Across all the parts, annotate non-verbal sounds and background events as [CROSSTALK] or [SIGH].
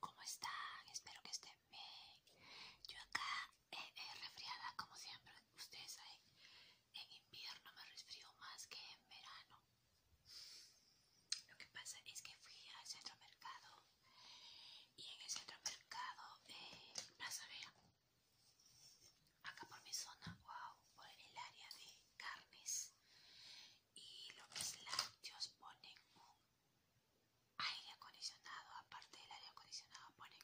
¿Cómo están? Espero que estén bien. Yo acá he eh, eh, resfriada como siempre. Ustedes saben, en invierno me resfrío más que en verano. Lo que pasa es que fui al otro mercado y en el centro mercado eh, Plaza acá por mi zona wow por el área de carnes y lo que es lácteos ponen un aire acondicionado aparte del aire acondicionado ponen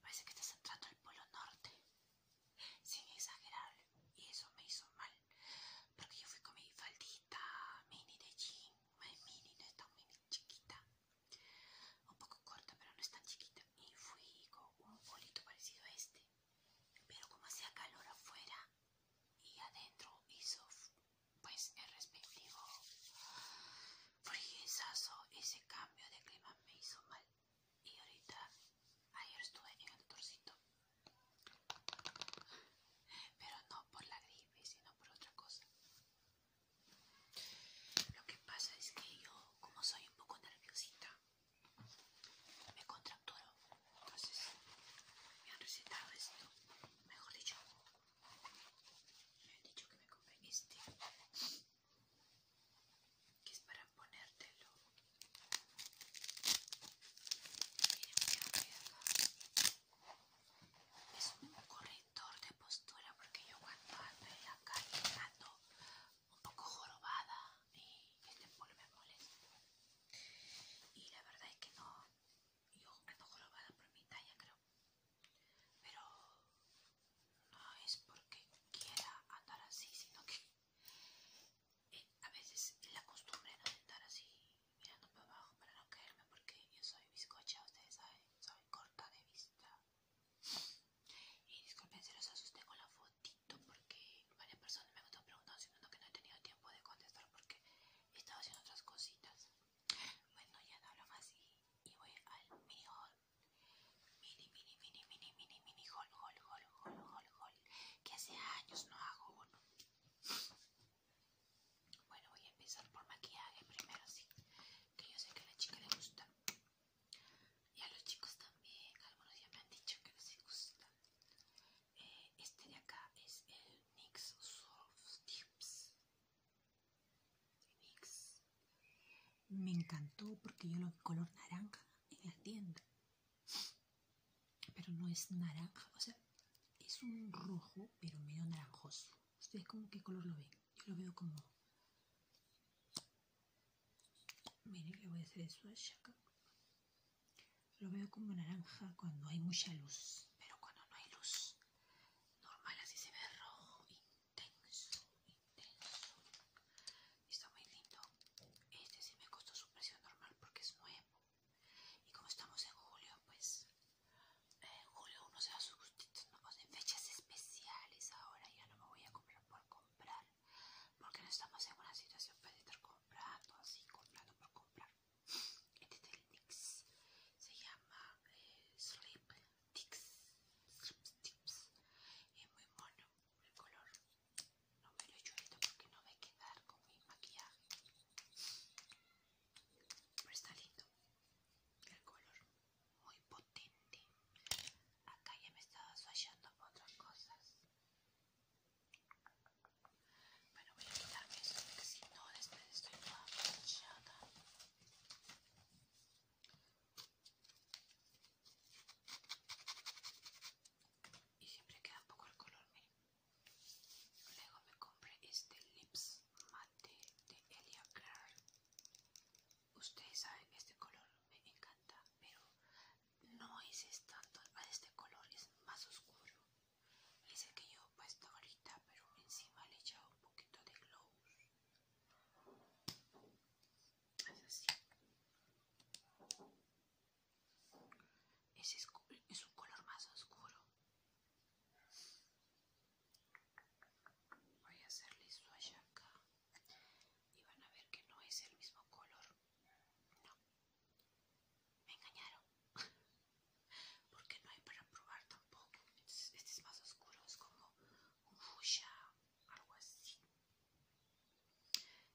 parece que estás entrando el polo norte sin exagerar y eso me hizo mal porque yo fui con mi faldita mini de jean una mini, no es tan chiquita, un poco corta, pero no es tan chiquita. Y fui con un bolito parecido a este, pero como hacía calor afuera y adentro hizo pues el respectivo friezazo, ese cambio de clima me hizo mal. Y ahorita, ayer estuve en el torcito, pero no por la gripe, sino por otra cosa. Lo que pasa es que yo, como soy un poco nerviosita, me contracturo. Entonces, me han recetado esto. Mejor dicho, me han dicho que me conveniste, este. Que es para ponértelo. Miren, es un corrector de postura porque yo cuando ando en la calle ando un poco jorobada y este polvo me molesta y la verdad es que no yo ando jorobada por mi talla creo pero no es porque quiera andar así sino que eh, a veces la costumbre de andar así mirando para abajo para no caerme porque yo soy bizcocha, ustedes saben, soy corta de vista. Y disculpen si los asusté con la fotito porque varias personas me han estado preguntando, sino que no he tenido tiempo de contestar porque he estado haciendo otras cositas. Bueno, ya no hablo más y, voy al mini hall. Mini, mini, mini, mini, mini, mini hall, hall, hall, hall, hall, hall, que hace años no hago bueno, voy a empezar por maquillaje primero, sí, que yo sé que a la chica le gusta. Y a los chicos también, algunos ya me han dicho que les gusta. Eh, este de acá es el NYX Soft Tips. NYX. Me encantó porque yo lo vi color naranja en la tienda. Pero no es naranja, o sea, es un rojo, pero medio naranjoso. ¿Ustedes como qué color lo ven? Yo lo veo como... Miren, le voy a hacer eso a Shaka. Lo veo como naranja cuando hay mucha luz, pero cuando no hay luz, normal así se ve rojo, intenso, intenso. Está muy lindo. Este sí me costó su precio normal porque es nuevo. Y como estamos en julio, pues eh, en julio uno se da sus ¿no? en fechas especiales ahora ya no me voy a comprar por comprar, porque no estamos en una situación para pues, estar comprando así, comprando por comprar. Este es el se llama slip eh, Sleep es muy mono el color. No me lo he hecho porque no va a quedar con mi maquillaje. Pero está lindo. El color muy potente. Acá ya me estaba fallando otras cosas. Bueno, voy a quitarme eso porque si no después estoy toda manchada. Y siempre queda un poco el color, miren. Luego me compré este Lips Mate de Elia Clark Ustedes saben, este color me encanta, pero no es tanto ah, este color, es más oscuro. Es el que yo he puesto ahorita, pero encima le he echado un poquito de glow. Es así. Es, es un color más oscuro. Voy a hacerle su acá y van a ver que no es el mismo color. No, me engañaron. [LAUGHS] Porque no hay para probar tampoco. Este, es más oscuro, es como un fuchsia, algo así.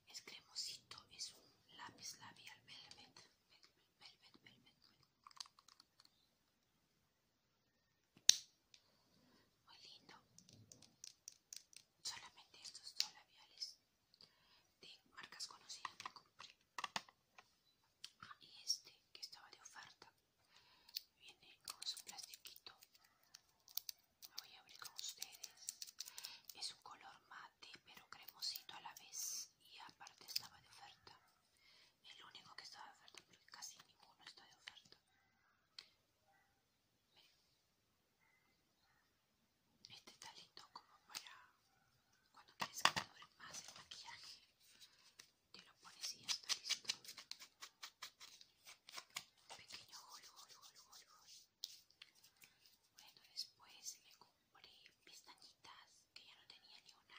Es cremosito, es un lápiz labial velvet. Velvet, velvet, Muy lindo. Solamente estos dos labiales de marcas conocidas que compré. y este que estaba de oferta viene con su plastiquito. voy a abrir con ustedes. Es un color más pero cremosito a la vez y aparte estaba de oferta. El único que estaba de oferta porque casi ninguno está de oferta. Este está listo como para cuando quieres que te dure más el maquillaje. Te lo pones y ya está listo. Un pequeño hol, hol, hol, hol, Bueno, después me por pestañitas que ya no tenía ni una.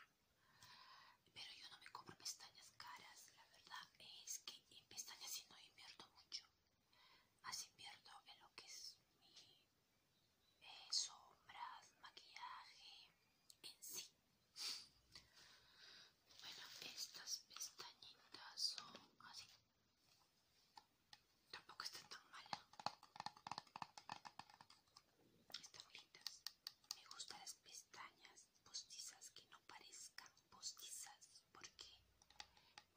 Pero yo no me compro pestañas caras. La verdad es que en pestañas si no invierto mucho. Más invierto en lo que es mi eh, sombras, maquillaje en sí. Bueno, estas pestañitas son así. Tampoco está tan mal. Están lindas. Me gustan las pestañas postizas que no parezcan postizas porque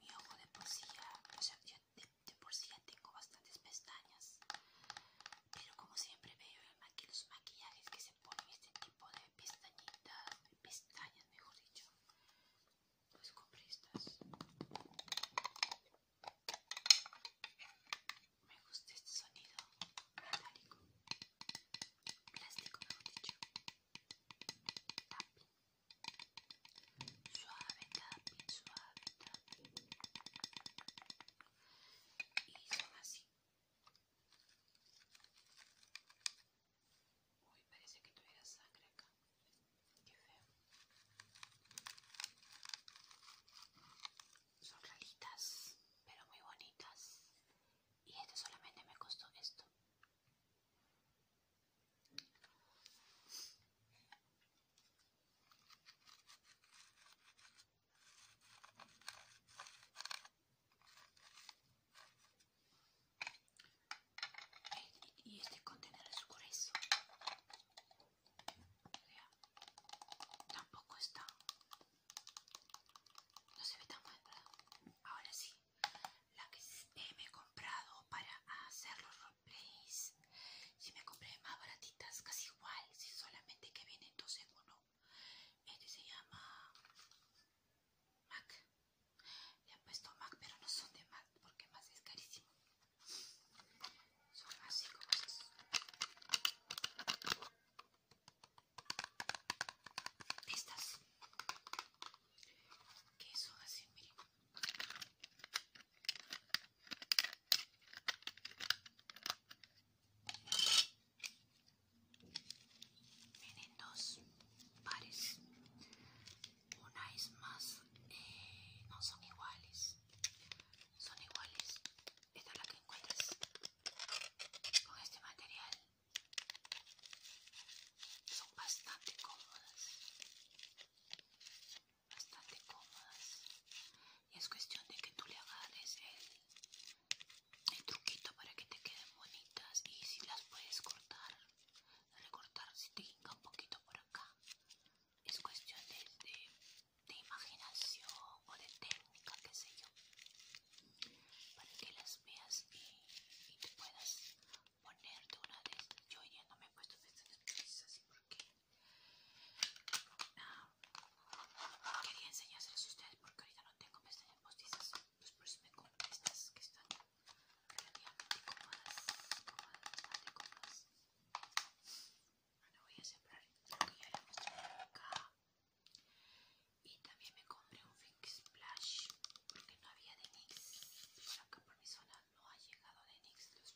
mi ojo de por sí ya, o sea, de, por sí ya tengo bastantes pestañas. Pero como siempre veo en los maquillajes que se ponen este tipo de pestañitas, pestañas mejor dicho. Pues compré estas. Me gusta este sonido metálico, plástico mejor dicho. Tapping. Suave tapping, suave tapping. Y son así. Uy, parece que tuviera sangre acá. Son raritas, pero muy bonitas. Y este solamente me costó esto y este contenedor es grueso tampoco está no se ve tan mal ahora sí la que eh, me he comprado para hacer los roleplays si me compré más baratitas casi igual si solamente que vienen dos en uno este se llama Mac le he puesto Mac pero no son de Mac porque Mac es carísimo son así como estas Estas. Que son así, miren. Vienen dos pares una es más eh, no son iguales son iguales esta es la que encuentras con este material son bastante cómodas bastante cómodas y es cuestión de que tú le agarres el truquito para que te queden bonitas y si las puedes cortar recortar si te hinca un poquito por acá es cuestión de, de, imaginación o de técnica qué sé yo para que las veas y, te puedas ponerte una de estas yo ya no me he puesto pestañas postizas así porque ah, quería enseñárselas a ustedes porque ahorita no tengo pestañas postizas pues por eso me compré estas que están relativamente cómodas, cómodas, bastante cómodas. Bueno, voy a sembrar lo que ya le mostré acá. Y también me compré un Fix Splash porque no había de NYX. Por acá por mi zona no ha llegado de NYX los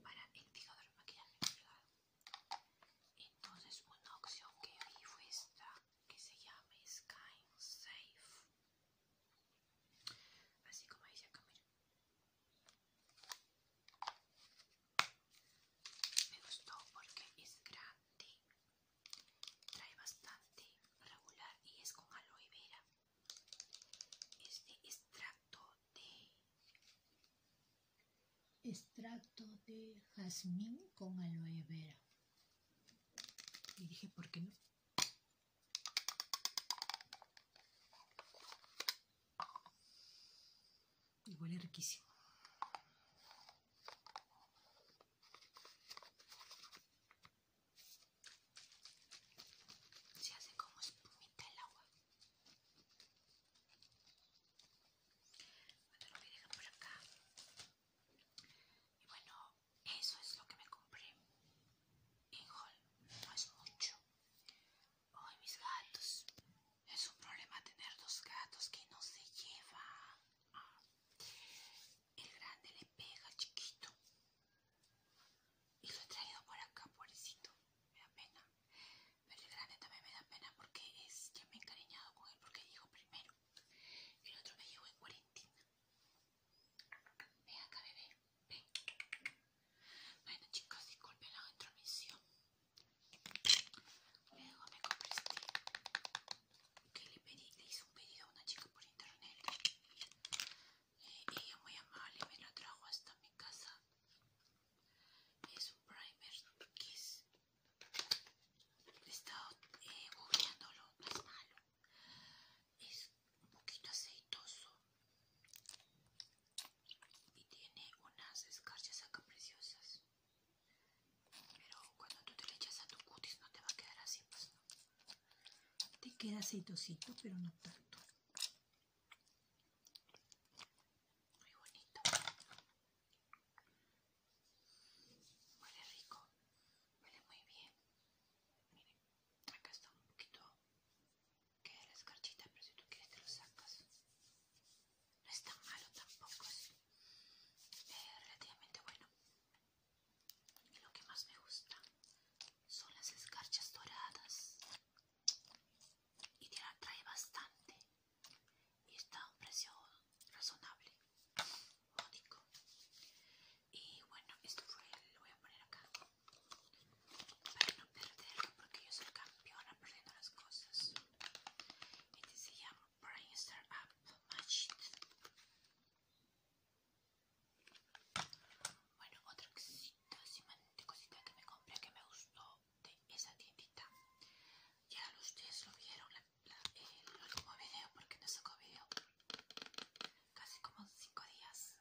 para el fijador de maquillaje pegado. Entonces una opción que vi fue esta que se llama Sky Así como dice acá, mira. Me gustó porque es grande, trae bastante regular y es con aloe vera. Este extracto de extracto de jazmín con aloe vera. Y dije, ¿por qué no? Y huele riquísimo. Se hace como espumita el agua. Bueno, lo voy por acá. Y bueno, eso es lo que me compré. hall, no es mucho. Ay, mis gatos. Es un problema tener dos gatos que no se llevan. El grande le pega al chiquito. Y lo he traído por acá, pobrecito. Me da pena. Pero el grande también me da pena porque es ya me he encariñado con él porque llegó primero. El otro me llegó en cuarentena. Ven acá, bebé. Ven. Bueno, chicos, disculpen la intromisión. Luego me compré este que le pedí, le hice un pedido a una chica por internet. Y eh, ella muy amable me lo trajo hasta mi casa. Es un primer kiss. He estado eh, lo malo es un poquito aceitoso y tiene unas escarchas acá preciosas pero cuando tú te le echas a tu cutis no te va a quedar así pues no te queda aceitosito pero no tanto muy bonito huele rico Huele muy bien. Miren, acá está un poquito que la escarchita, pero si tú quieres te lo sacas. No es malo tampoco, es relativamente bueno. Y lo que más me gusta son las escarchas doradas. Y te la trae bastante. Y está a un precio razonable. Y bueno, esto fue, lo voy a poner acá para no perderlo porque yo soy campeona perdiendo las cosas. Este se llama Brain Startup Magic. Bueno, otra cosita, cosita que me compré que me gustó de esa tiendita. Ya ustedes lo vieron, el último video porque no saco video casi como 5 días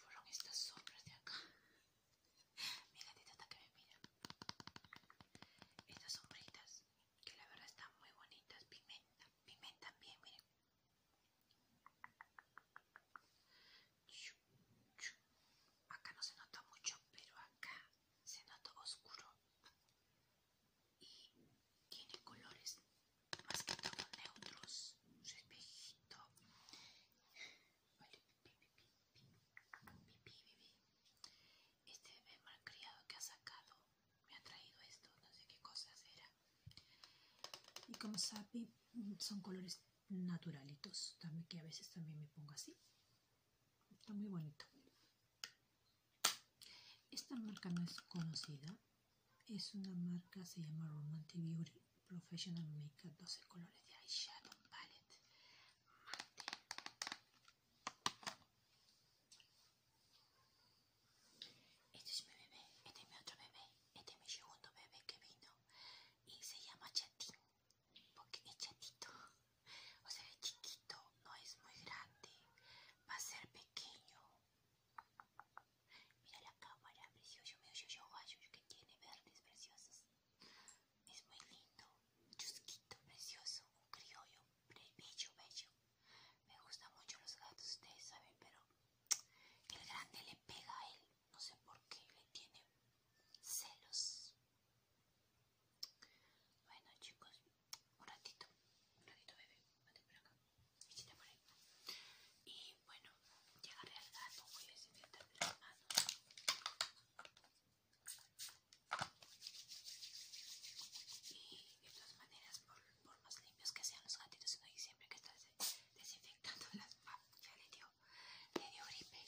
fueron estas sombras de acá mi hasta que me mira estas sombritas que la verdad están muy bonitas pimenta, pimenta bien miren acá no se nota mucho pero acá se nota oscuro y tiene colores más que neutros, un espejito. Este bebé criado que ha sacado me ha traído esto, no sé qué cosas era. Y como sabe, son colores naturalitos, también que a veces también me pongo así. Está muy bonito. Esta marca no es conocida, es una marca, se llama Romantic Beauty Professional Makeup 12 colores de eyeshadow palette Este es mi bebé, este es mi otro bebé, este es mi segundo bebé que vino y se llama Chatín porque es chatito. O sea, el chiquito, no es muy grande. Va a ser pequeño. Mira la cámara, precioso, que tiene verdes preciosas Es muy lindo, chusquito, precioso, un criollo, bello, bello. Me gusta mucho los gatos, ustedes saben, pero el grande le pega a él, no sé por qué, le tiene celos. Bueno chicos, un ratito, un ratito bebé, vete por acá, chita por ahí. Y bueno, llegaré al gato, voy a desinfectarme las manos. Y de todas maneras, por, más limpios que sean los gatitos, no hay siempre que estás desinfectando las manos, ah, ya le dio, le dio gripe,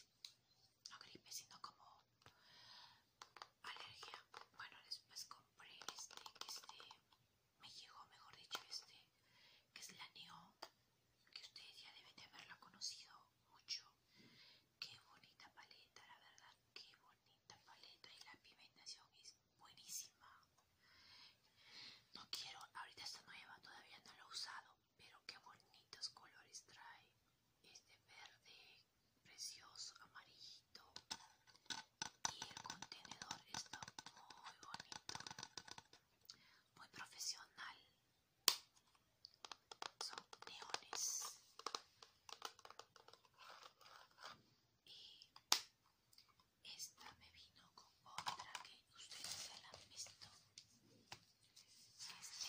no gripe, sino como alergia bueno después compré este este me llegó mejor dicho este que es la neo que ustedes ya deben de haberla conocido mucho qué bonita paleta la verdad qué bonita paleta y la pigmentación es buenísima no quiero ahorita está nueva todavía no lo he usado pero qué bonitos colores trae este verde precioso amarillito y el contenedor está muy bonito muy profesional son neones y esta me vino con otra que ustedes ya la han visto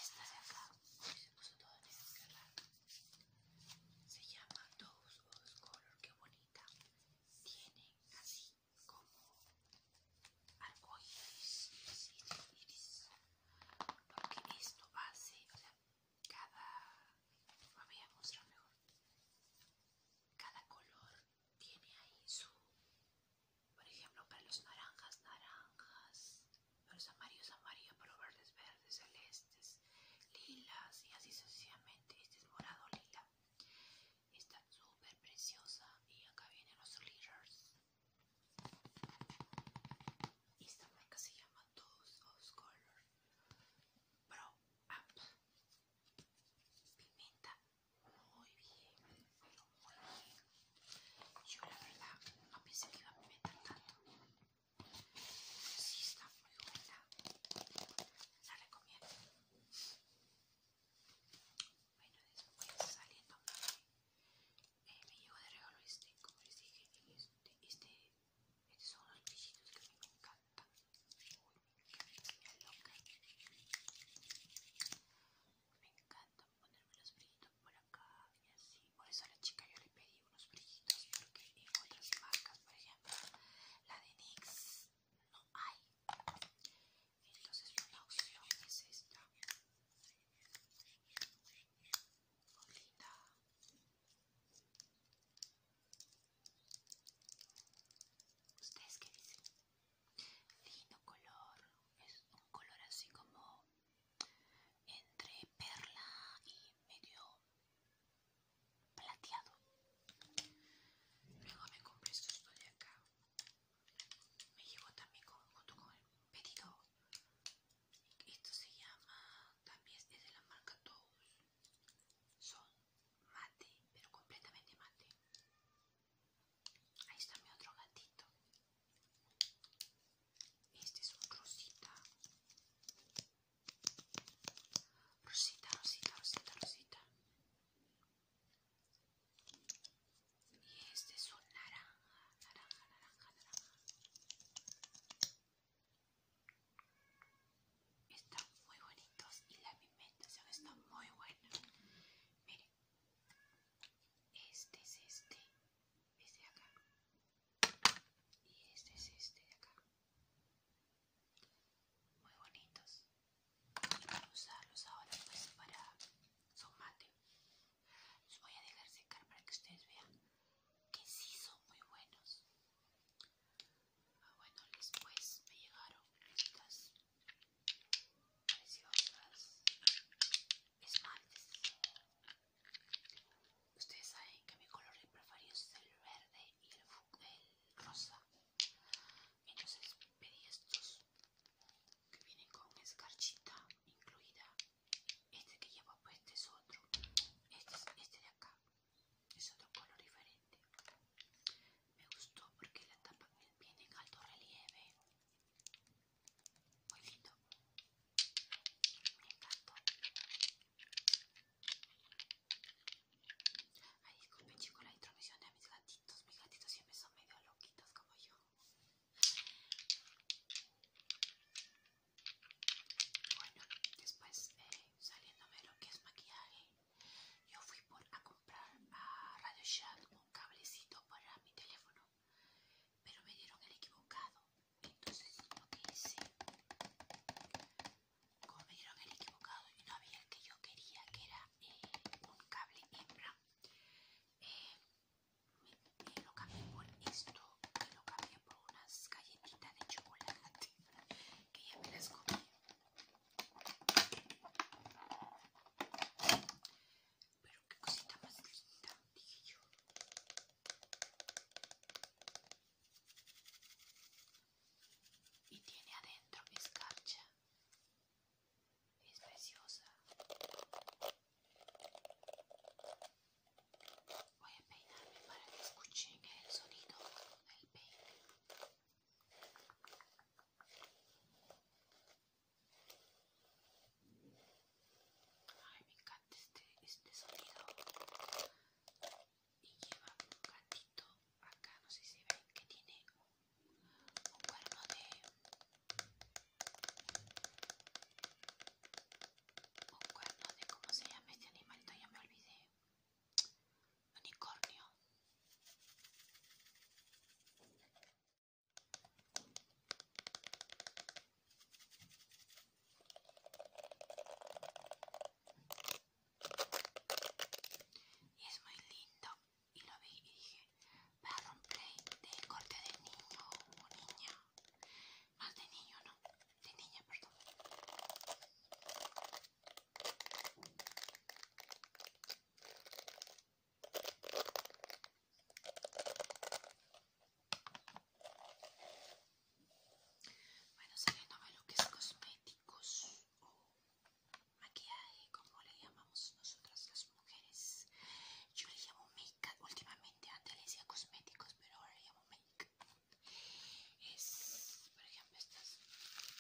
esta de acá, se puso todo en el se llama Those Rose Color, que bonita. Tiene así como arcoíris, iris, iris, porque esto hace, o sea, cada, lo voy a mostrar mejor. Cada color tiene ahí su, por ejemplo, para los naranjas, naranjas, los amarillos amarillos, pero verdes verdes, celestes, lilas y así sucesivamente. Este es morado lila. Está súper preciosa y acá vienen los leaders. Esta marca se llama Toes of Color Pro Up. Pimenta muy bien, pero muy bien. Yo la verdad no pensé que iba a pimentar tanto. Sí, está muy buena. La recomiendo. Bueno, después saliendo eh, me llevo de regalo este, como les dije, este, este estos son unos bichitos que a me encantan. me loca. Me encanta ponerme los brillitos por acá y así. Por eso a la chica yo le pedí unos brillitos porque en otras marcas, por ejemplo, la de NYX no hay. Entonces la opción es esta. Bonita. ¿Ustedes qué dicen? Lindo color. Es un color así como entre perla y medio plateado. Luego me compré esto dos de acá. Me llegó también con, junto con el pedido. Esto se llama, también es de la marca Toast. Son mate, pero completamente mate. Ahí está mi otro gatito. Este es un rosita. Rosita, rosita, rosita, rosita. Y este es un naranja, naranja, naranja, naranja. Están muy bonitos y la pimentación está muy buena. Miren, este es este este de acá y este es este de acá muy bonitos y a usarlos ahora pues, para tomate. los voy a dejar secar para que ustedes vean que si son muy buenos ah, bueno después me llegaron estas preciosas esmaltes. Ustedes saben que mi color preferido es el verde y el, rosa rosa. Entonces pedí estos que vienen con escarchita incluida. Este que lleva puesto es otro. Este, este, de acá es otro color diferente. Me gustó porque la tapa viene en alto relieve muy lindo me encantó ay disculpen chicos la intromisión de mis gatitos mis gatitos siempre son medio loquitos como yo bueno después eh, saliéndome lo que es maquillaje yo fui por a comprar a Radio Shack un cablecito para mi teléfono pero me dieron el equivocado. Entonces lo que hice, como me dieron el equivocado y no había el que yo quería, que era eh, un cable hembra, eh, lo cambié por esto, que lo cambié por unas galletitas de chocolate, que ya me las comí qué cosita más linda, dije yo. Y tiene adentro escarcha. Es preciosa. Voy a peinarme para que escuchen el sonido del peine. Ay, me encanta este, este sonido. Y lleva un gatito acá, no sé si ven que tiene un cuerno de un cuerno de cómo se llama este animal? Todavía me olvidé. Unicornio. Y es muy lindo. Y lo vi y dije, para un play de corte de niño o niña. Más de niño, no. De niña, perdón. Bueno, saliéndome lo que es cosméticos o maquillaje, como le llamamos nosotras las mujeres. Yo le llamo make últimamente, antes le decía cosméticos, pero ahora le llamo make. Es, por ejemplo, estas rosas,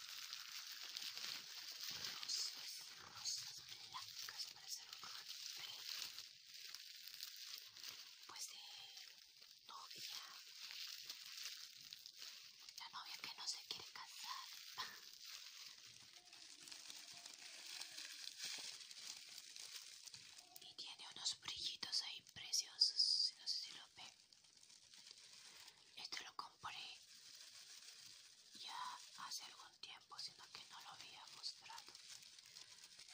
rosas blancas, hacer pues de novia la novia que no se quiere casar y tiene unos brillitos ahí preciosos no sé si lo ve este lo compré ya hace algún tiempo, sino que no lo había mostrado,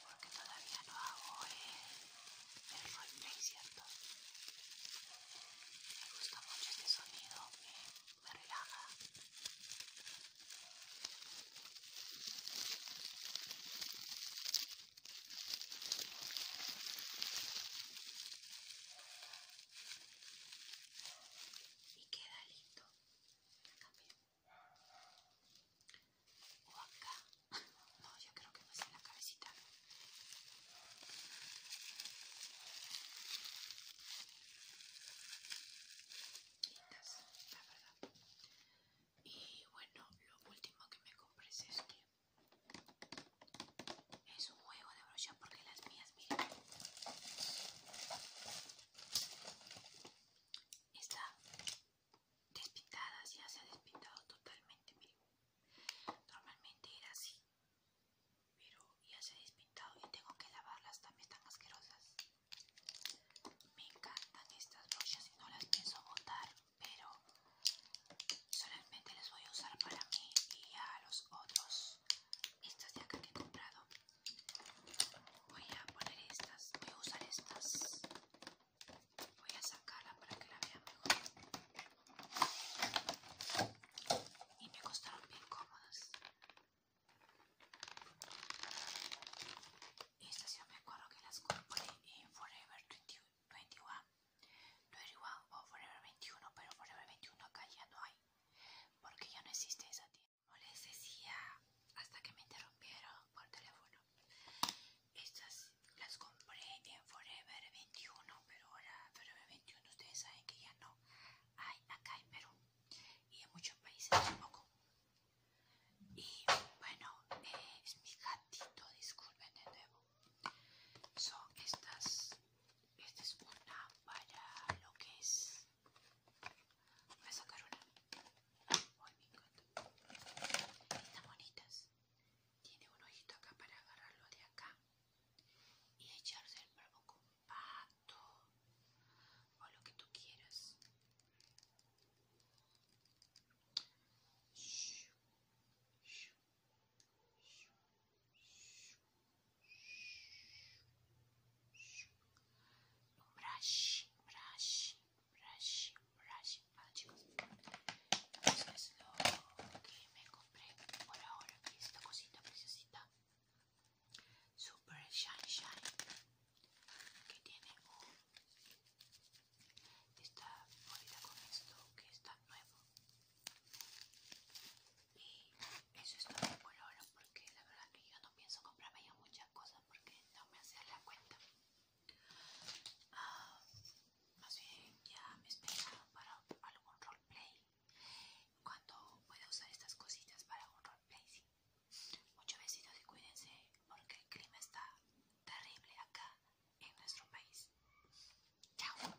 porque todavía no hago el, el roleplay, ¿cierto? Me gusta mucho este sonido, me relaja. Y queda lindo o acá. No, yo creo que más en la cabecita. la verdad. Y bueno, lo último que me compré es este. Es un juego de brocha porque las mías miren. Está despintada, ya se ha despintado totalmente, miren. Normalmente era así, pero ya se ha despintado y tengo que lavarlas, también están asquerosas. Me encantan estas brochas y no las pienso botar, pero solamente las voy a usar para mí y a los otros. Estas de acá que he comprado voy a poner estas voy a usar estas voy a sacarla para que la vean mejor y me costaron bien cómodas estas yo me acuerdo que las compré en Forever 21 21 21 o Forever 21 pero Forever 21 acá ya no hay porque ya no existe esa tienda. Como les decía, hasta que me interrumpieron por teléfono, estas las compré en Forever 21, pero ahora Forever 21 ustedes saben que ya no hay acá en Perú y en muchos países tampoco. Y bueno, eh, es mi gatito, disculpen de nuevo. Son estas esta es una para lo que es. Voy a sacar una. Ay, bonitas. Tiene un ojito acá para agarrarlo de acá y echarse el bravo compacto o lo que tú quieras brush, brush, brush, brush. chicos, es lo que me compré por ahora. Esta cosita preciosita. Super Shine Shine. Que tiene un... Está con esto que está nuevo. Y eso es todo por ahora porque la verdad que yo no pienso comprarme Ya muchas cosas porque no me hace la cuenta. Ah, más bien ya me esperaba para algún roleplay. Cuando pueda usar estas cositas para un roleplay, mucho Muchos besitos y cuídense porque el clima está terrible acá en nuestro país. Chao.